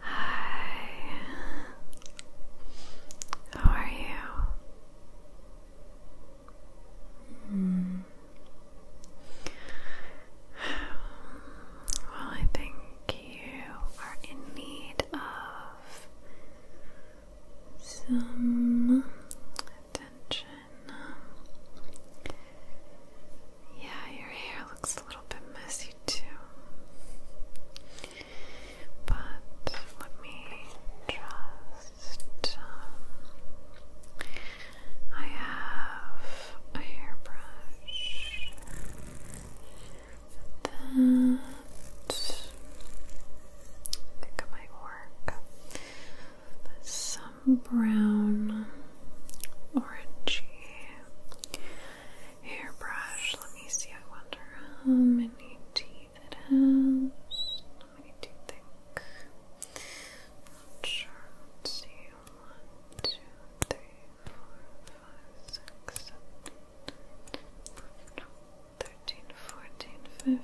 Hi. How are you? Hmm. Well, I think you are in need of some attention. Yeah, your hair looks a little bit messy too. But let me just. Um, I have a hairbrush that I think might work. Some brown, orangey hairbrush. Let me see, I wonder how many teeth it has. How many do sure. Let's see. One, two, three, four, five, six, seven, eight, nine,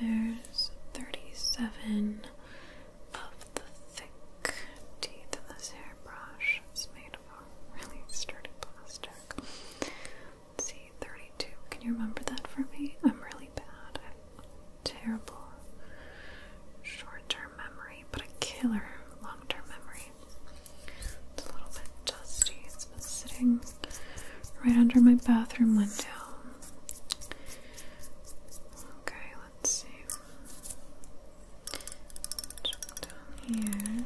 there's 37 of the thick teeth in this hairbrush. It's made of really sturdy plastic. Let's see, 32. Can you remember that for me? I'm really bad. I terrible short term memory, but a killer long term memory. It's a little bit dusty. It's been sitting right under my bathroom window. Okay, let's see. down here.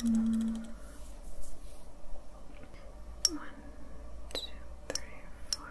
Hmm. one, two, three, four,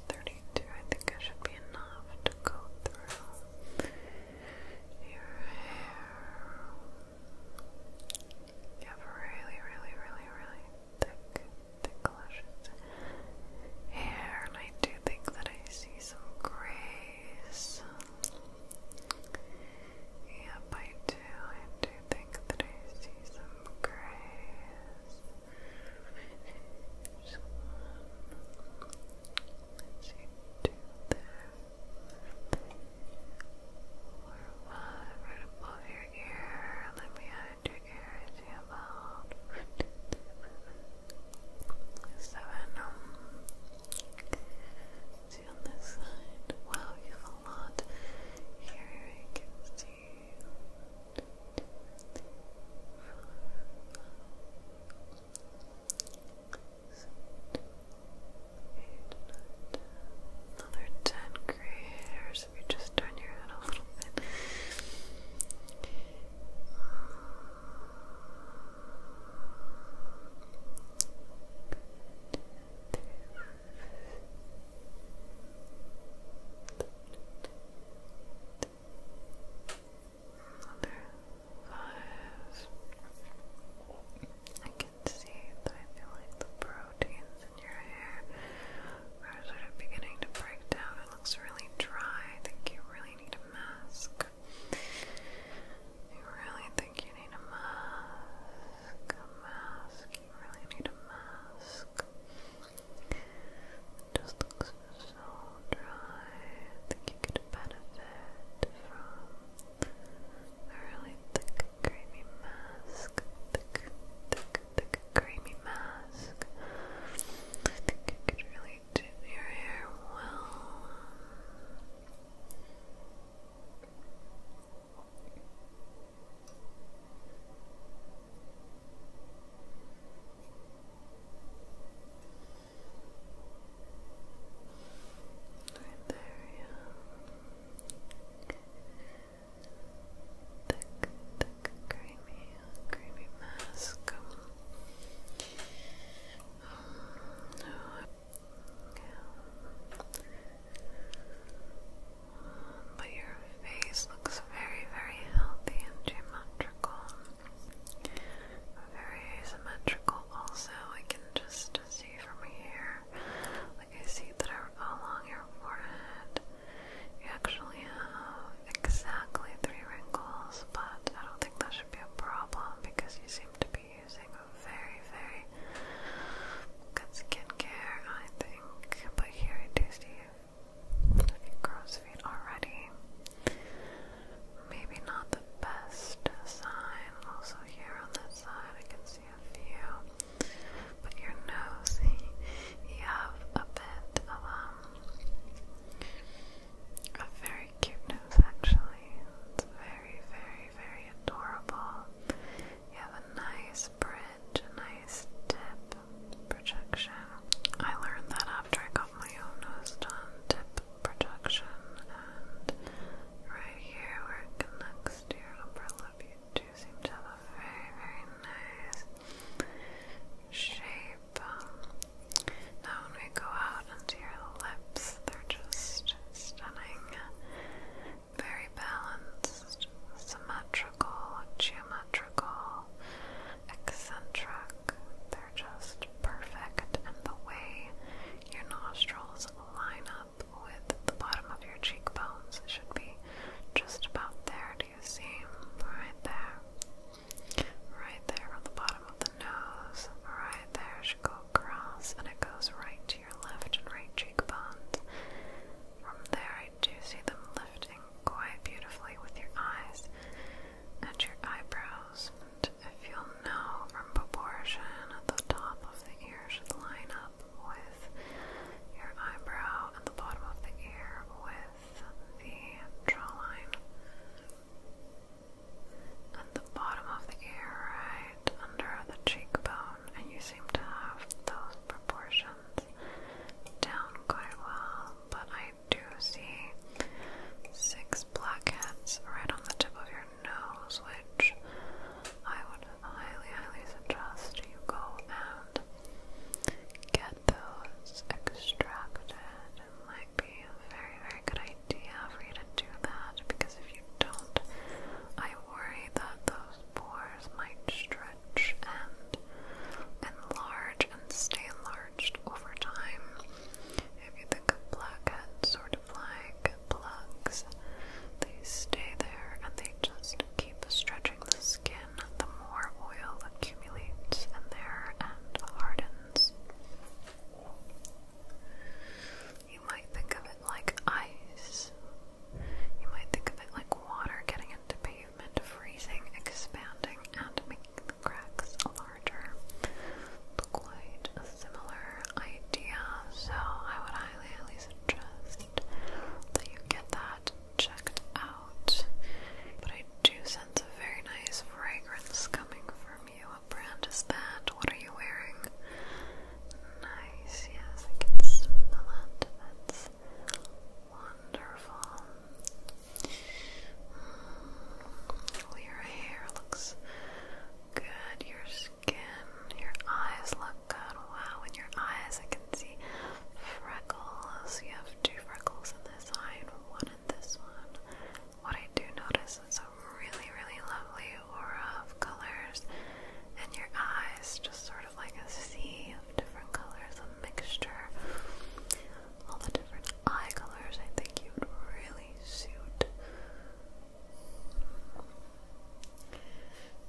32. I think it should be enough to go through your hair. You have really, really, really, really thick, thick lashes hair, and I do think that I see some grace. Yep, I do. I do think that I see some grace. There's two there. Four, right above your ear. Let me add your ear. see about one, two, three, seven. Um, on this side. Wow, you have a lot. Here, I can see. Another ten creators if you just turn your head a little bit. Another five. I can see that I feel like the proteins in your hair are sort of beginning to break down. It looks really dry. I think you really need a mask. You really think you need a mask? mask. You really need a mask. It just looks so dry. think you could benefit from a really thick, creamy mask. Thick, thick, thick, creamy mask. I could really do your hair well. Right there, yeah. Thick, creamy, creamy mask. Um, no, but your face looks very, very healthy and geometrical. Very asymmetrical, also. I can just see from here. Like, I see that along your forehead, you actually have exactly three wrinkles, but I don't think that should be a problem because you seem to be using a very, very good skincare, I think. But here I do see in CrossFit already. Maybe not the best sign. Also here on this side I can see a few. But your nose, you have a bit of um, a very cute nose actually. It's very, very, very adorable. You have a nice bridge, a nice tip projection. I learned that after I got my own nose done, tip projection, and right here where it connects to your upper lip, you do seem to have a very, very nice shape. Um, now when we go out into your lips, they're just stunning, very balanced just symmetrical, geometrical, eccentric. They're just perfect, and the way your nostrils line up with the bottom of your cheekbones It should be just about there. Do you see? Right there. Right there on the bottom of the nose. Right there. It should go across, and it goes right to your left and right cheekbones. From there, do you see them lifting quite beautifully with your eyes and your eyebrows. And if you'll know from proportion, at the top of the ear should line up with your eyebrow and the bottom of the ear with the draw line. And the bottom of the ear, right under the cheekbone, and you seem to have those proportions down quite well, but I do see six blackheads right on the tip of your nose, which I would highly, highly suggest you go and get those extracted. It might be a very, very good idea for you to do that because if you don't, I worry that those pores might stretch and enlarge and stay enlarged over time. If you think of blackheads, sort of like plugs, they stay there and they just keep stretching the skin. The more oil accumulates in there and hardens. You might think of it like ice. You might think of it like water getting into paper freezing, expanding, and making the cracks larger. Quite a similar idea, so I would highly, highly suggest that you get that checked out. But I do sense a very nice fragrance coming from you. What brand is that? What are you wearing? Nice, yes, I can That's wonderful your hair looks good. Your skin, your eyes look good. Wow, in your eyes I can see freckles. You have two freckles in this eye one in this one. What I do notice is a really, really lovely aura of colors and your eyes, just sort of like a sea of different colors, a mixture. All the different eye colors I think you would really suit.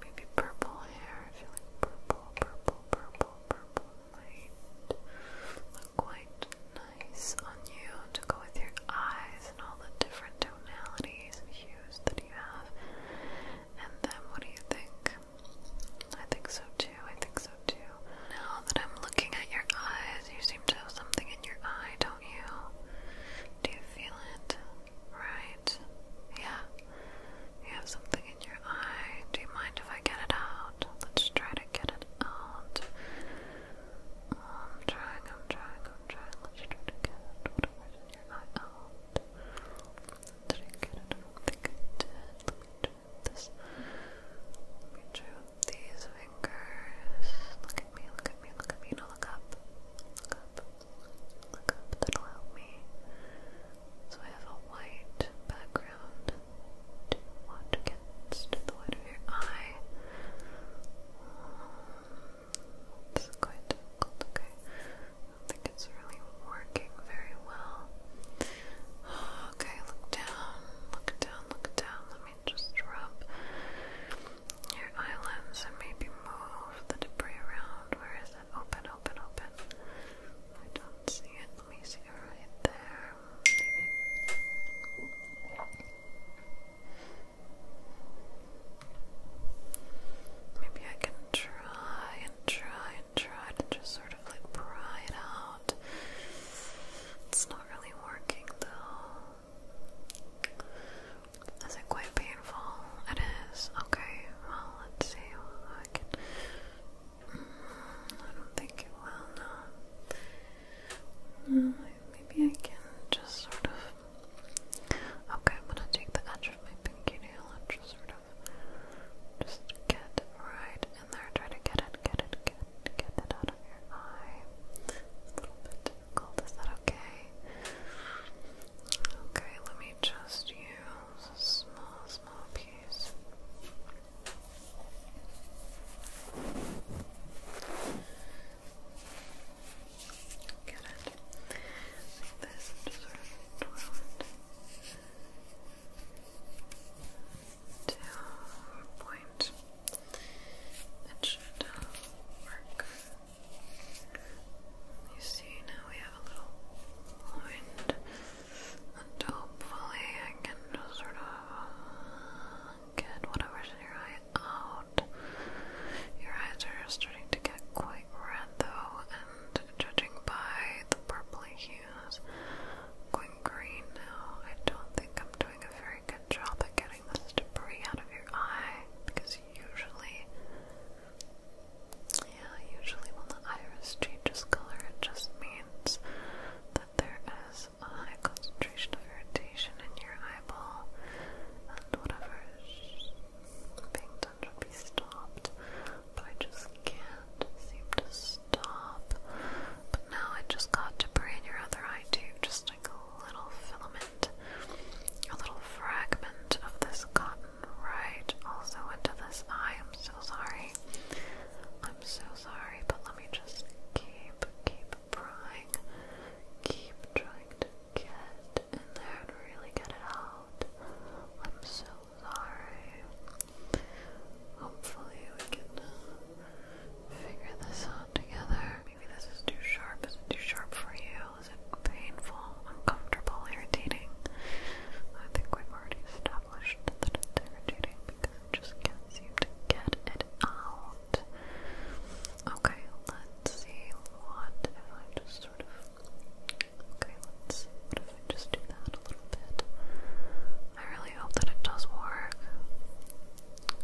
Maybe purple hair, if you like purple, purple, purple, purple might look quite nice on you to go with your eyes and all the different tonalities and hues that you have. And then what do you think? I think so too. I think so too. Now that I'm looking at your eyes, you seem to have something in your eye, don't you? Do you feel it? Right? Yeah. You have something in your eye. Do you mind if I get it out? Let's try to get it out. I'm trying, I'm trying, I'm trying. Let's try to get whatever's in your eye out. Did I get it? I think I did this. Let these fingers. Look at me, look at me, look at me. No, look up. Look up. Look up. That'll help me. So I have a white background. you want to get to the white of your eye? It's quite difficult, okay. I think it's really working very well. Okay, look down, look down, look down. Let me just rub your eyelids and maybe move the debris around. Where is it? Open, open, open. I don't see it. Let me see it right there. Maybe. Maybe I can try and try and try to just sort of like pry it out. It's not really working though. Is it quite painful? It is. Okay, well, let's see. I can. Mm, I don't think it will, no. Mm, maybe I can just sort of. Okay, I'm gonna take the edge of my pinky nail and just sort of just get right in there. Try to get it, get it, get get it out of your eye. a little bit difficult. Is that okay? Okay, let me just use a small, small piece. Get it. this, just sort of twirl it to a point that should work. You see, now we have a little point, and hopefully I can sort of get whatever's in your eye out. Your eyes are starting to get quite red though, and judging by the purple hue use going green now. I don't think I'm doing a very good job at getting this debris out of your eye because usually, yeah, usually when the iris changes color, it just means that there is a high concentration of irritation in your eyeball and whatever being done should be stopped but I just can't seem to stop. But now I just got to pray your other eye too, just like a little filament, a little fragment of this cotton right also into this eye. I'm so sorry. I'm so sorry, but let me just keep, keep prying, keep trying to get in there and really get it out. I'm so sorry. Hopefully, we can uh, figure this out together. Maybe this is too sharp. Is it too sharp for you? Is it painful, uncomfortable, irritating? I think we've already established that it's irritating because I just can't seem to get it out. Okay, let's see what Okay, let's just do that a little bit. I really hope that it does work.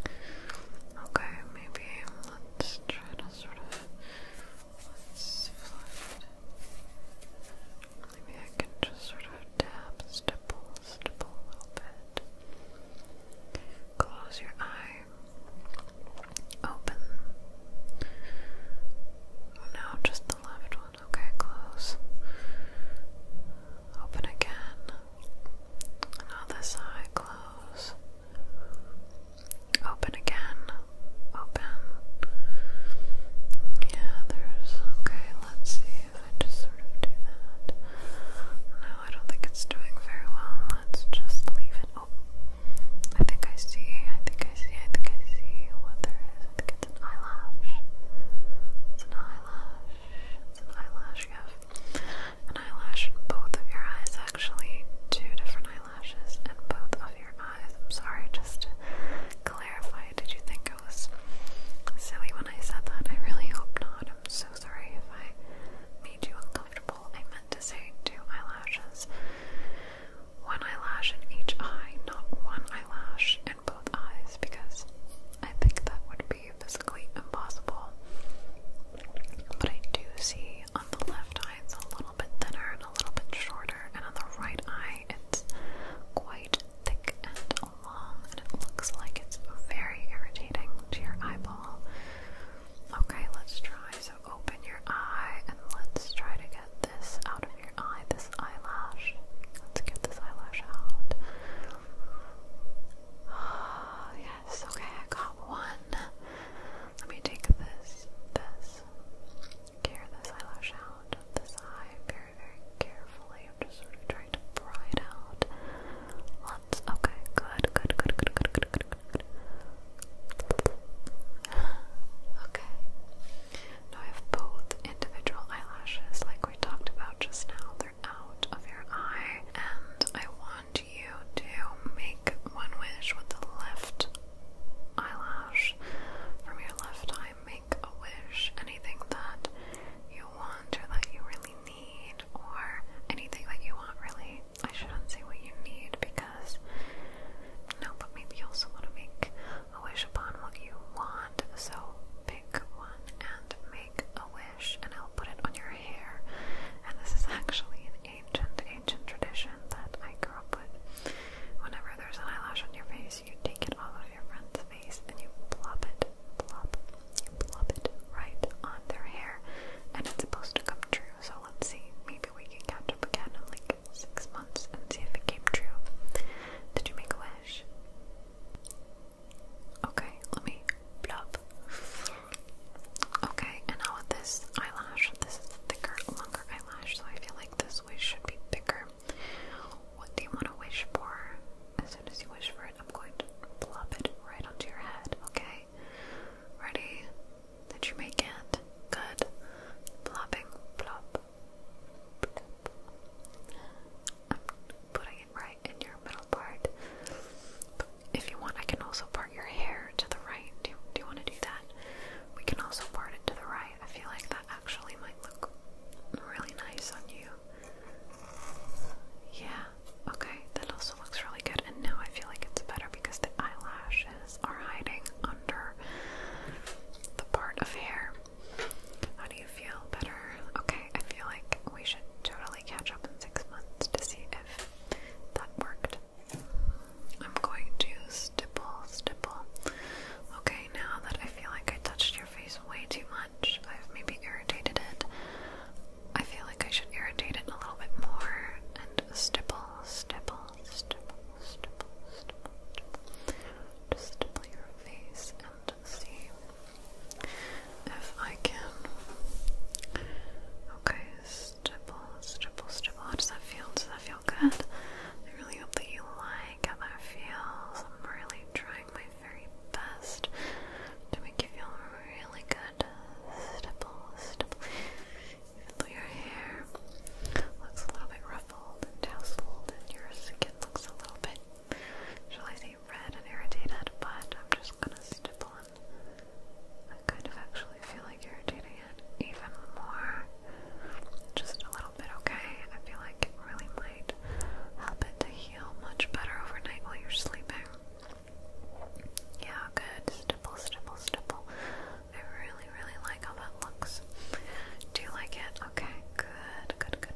Okay, maybe let's try to sort of let's flip Maybe I can just sort of tap, stipple, stipple a little bit. Close your eye. Open. Now just the left one. Okay, close. Open again. And side, close. Open again. Open. Yeah, there's okay, let's see if I just sort of do that. No, I don't think it's doing very well. Let's just leave it. Oh I think I see, I think I see, I think I see what there is it's an eyelash. It's an eyelash. It's an eyelash. You an eyelash in both of your eyes, actually. Two different eyelashes in both of your eyes. I'm sorry, just clarify, did you think I was silly when I said that? I really hope not. I'm so sorry if I made you uncomfortable. I meant to say two eyelashes. One eyelash in each eye, not one eyelash both eyes because I think that would be physically impossible. But I do see on the left eye it's a little bit thinner and a little bit shorter, and on the right eye it's quite thick and long, and it looks like it's very irritating to your eyeball. Okay, let's try. So open your eye and let's try to get this out of here eye, this eyelash. Let's get this eyelash out. Oh, yes, okay, I got one. Let me take this, this, care this eyelash out this eye very, very carefully. I'm just trying to pry it out. Let's, okay, good, good, good, good, good, good, good. Okay. Now I have both individual eyelashes like we talked about just now. They're out of your eye and I want you to make one wish with the left eyelash from your left eye. Make a wish, anything that you want or that you really need or anything that you want really. I shouldn't say what you need because no, but maybe you also want to make a wish upon what you want. So pick one and make a wish, and I'll put it on your hair. And this is actually an ancient, ancient tradition that I grew up with. Whenever there's an eyelash on your face, you take it off of your friend's face and you plop it, plop, you plop it right on their hair, and it's supposed to come true. So let's see, maybe we can catch up again in like six months and see if it came true. Did you make a wish? Okay, let me plop. Okay, and now with this eyelash, this thicker, longer eyelash, so I feel like this wish should be bigger. What do you want to wish for? As soon as you wish for it, I'm going to plop it right onto your head, okay? Ready? Did you make it? Good. Plopping, plop, I'm putting it right in your middle part. if you want, I can also part your hair to the right. Do do you want to do that? We can also part it to the right. I feel like that actually might look really nice on you. Yeah, okay, that also looks really good. And now I feel like it's better because the eyelashes are hiding under the part of hair. How do you feel? Better? Okay, I feel like we should totally catch up in six months to see if that worked. I'm going to stipple, stipple. Okay, now that I feel like I touched your face way too much, I've maybe irritated it. I feel like I should irritate it a little bit more and stipple, stipple, stipple, stipple, stipple. stipple. Just stipple your face and see if I can. Okay, stipple, stipple, stipple. How does that feel? Does that feel good? I really hope that you like how that feels. I'm really trying my very best to make you feel really good. Stipple, stipple. Even though your hair looks a little bit ruffled and tousled and your skin looks a little bit shall I red and irritated, but I'm just gonna stipple on. I kind of actually feel like irritating it even more. Just a little bit, okay? I feel like it really might help it to heal much better overnight while you're sleeping. Yeah, good. Stipple, stipple, stipple. I really, really like how that looks. Do you like it? Okay, good, good, good.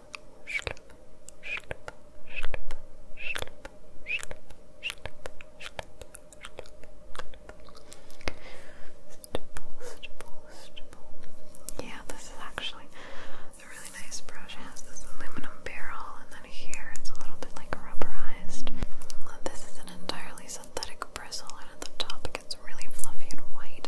slip, slip, Yeah, this is actually a really nice brush. It has this aluminum barrel, and then here it's a little bit like rubberized. This is an entirely synthetic bristle, and at the top it gets really fluffy and white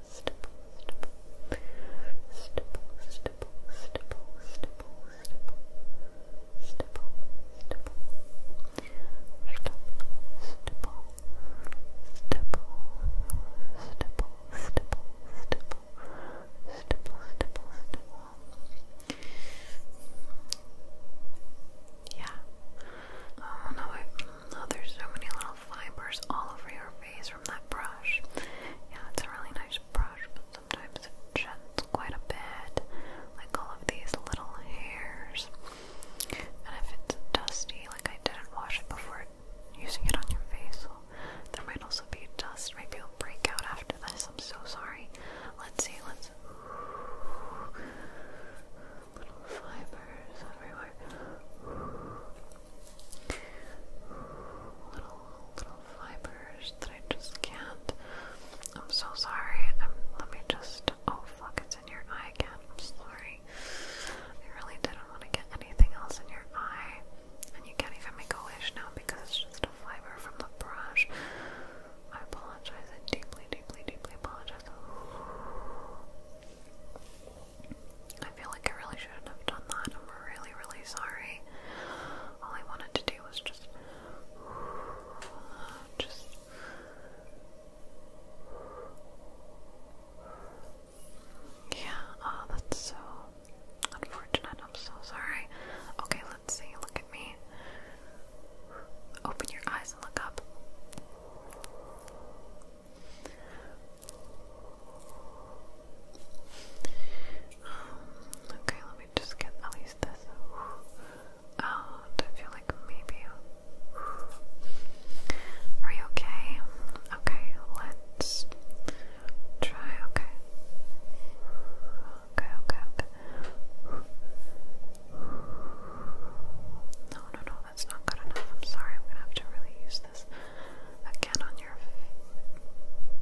stipple, yeah, I don't know, I Oh, there's so many little fibers all over your face from that brush. Yeah, it's a really nice brush, but sometimes it sheds quite a bit, like all of these little hairs. And if it's dusty, like I didn't wash it before using it on your face, there might also be dust. Maybe it'll break out after this. I'm so sorry. Let's see. Let's little fibers everywhere. Little little fibers that I just can't. I'm so sorry. Um, let me just. Oh fuck! It's in your eye again. I'm sorry. I really didn't want to get anything else in your eye, and you can't even make a wish now because it's just a fiber from the brush. I apologize. I deeply, deeply, deeply apologize. I feel like I really shouldn't have done that. I'm really, really sorry. All I wanted to do was just, just. Yeah, oh, that's so unfortunate. I'm so sorry. Okay, let's see. Look at me. Open your eyes and look up. Um, okay, let me just get at least this uh, out. I feel like maybe. Are you okay? Okay, let's try. Okay. Okay, okay, okay. No, no, no, that's not good enough. I'm sorry, I'm gonna have to really use this again on your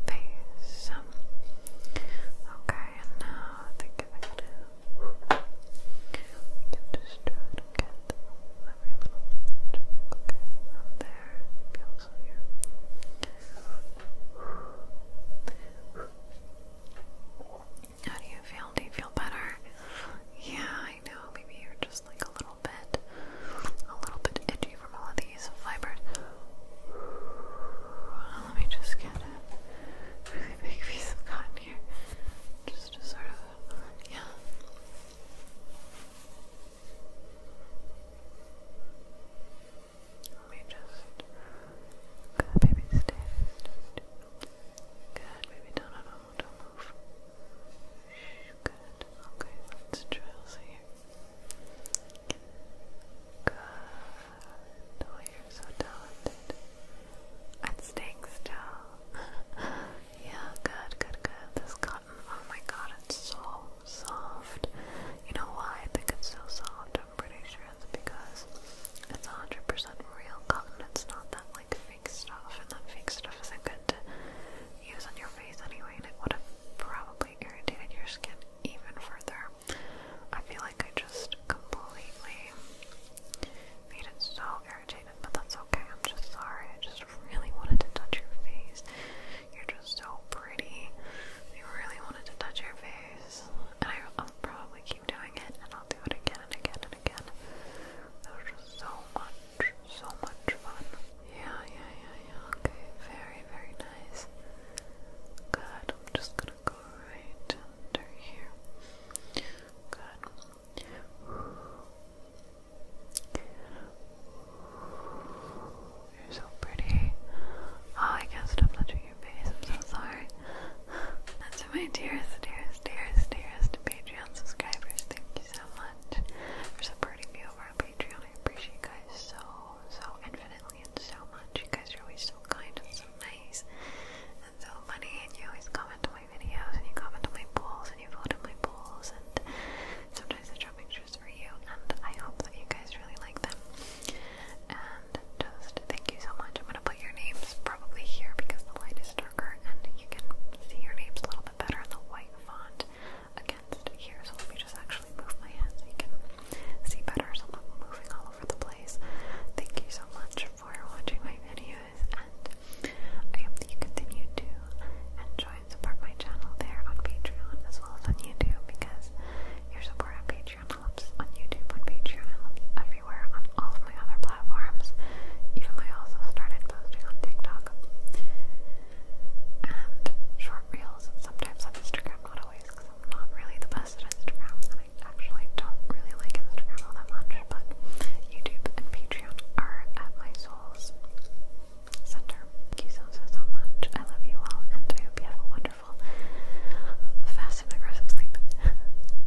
face. Um, okay, and now think I can just try to get every little bit. Okay, there, feels here. How do you feel? Do you feel better? Yeah, I know. Maybe you're just like a little bit, a little bit itchy from all of these fibers. Let me just get a really big piece of cotton here, just to sort of, yeah. Let me just. Good baby, stay. Good baby, no, no, no don't move. Good. Okay, let's trace here. Good. Oh, you're so talented. At staying still. yeah, good, good, good. This cotton, oh my god, it's so soft. You know why I think it's so soft? I'm pretty sure it's because it's 100% real cotton. It's not that like fake stuff, and that fake stuff isn't good to use on your face anyway, and it would have probably irritated your skin even further. I feel like I just completely made it so irritated, but that's okay. I'm just sorry. I just really wanted to touch your face. You're just so pretty. I really wanted to touch your face, and I, will probably keep doing it, and I'll do it again and again and again. There's just so much so much fun. Yeah, yeah, yeah, yeah. Okay, very, very nice. Good. I'm just gonna go right under here. Good. You're so pretty. Oh, I can't stop touching your face. I'm so sorry. And to my dearest, dearest, dearest, dearest Patreon subscribers, thank you so so much for supporting me over on Patreon. I appreciate you guys so, so infinitely and so much. You guys are always so kind and so nice and so funny, and you always comment on my videos, and you comment on my polls, and you vote on my polls, and sometimes I draw pictures for you, and I hope that you guys really like them. And just thank you so much. I'm gonna put your names probably here because the light is darker and you can see your names a little bit better in the white font against here. So let me just actually move my hand you can see better. I'm moving all over the place. Thank you so much for watching my videos, and I hope that you continue to enjoy and support my channel there on Patreon as well as on YouTube because your support on Patreon helps on YouTube, on Patreon, everywhere on all of my other platforms. Even I also started posting on TikTok and short reels sometimes on Instagram, not always because I'm not really the best at Instagram and I actually don't really like Instagram all that much, but YouTube and Patreon are at my soul's center. Thank you so, so, so much. I love you all and I hope you have a wonderful, fast and aggressive sleep.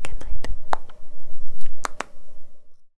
Good night.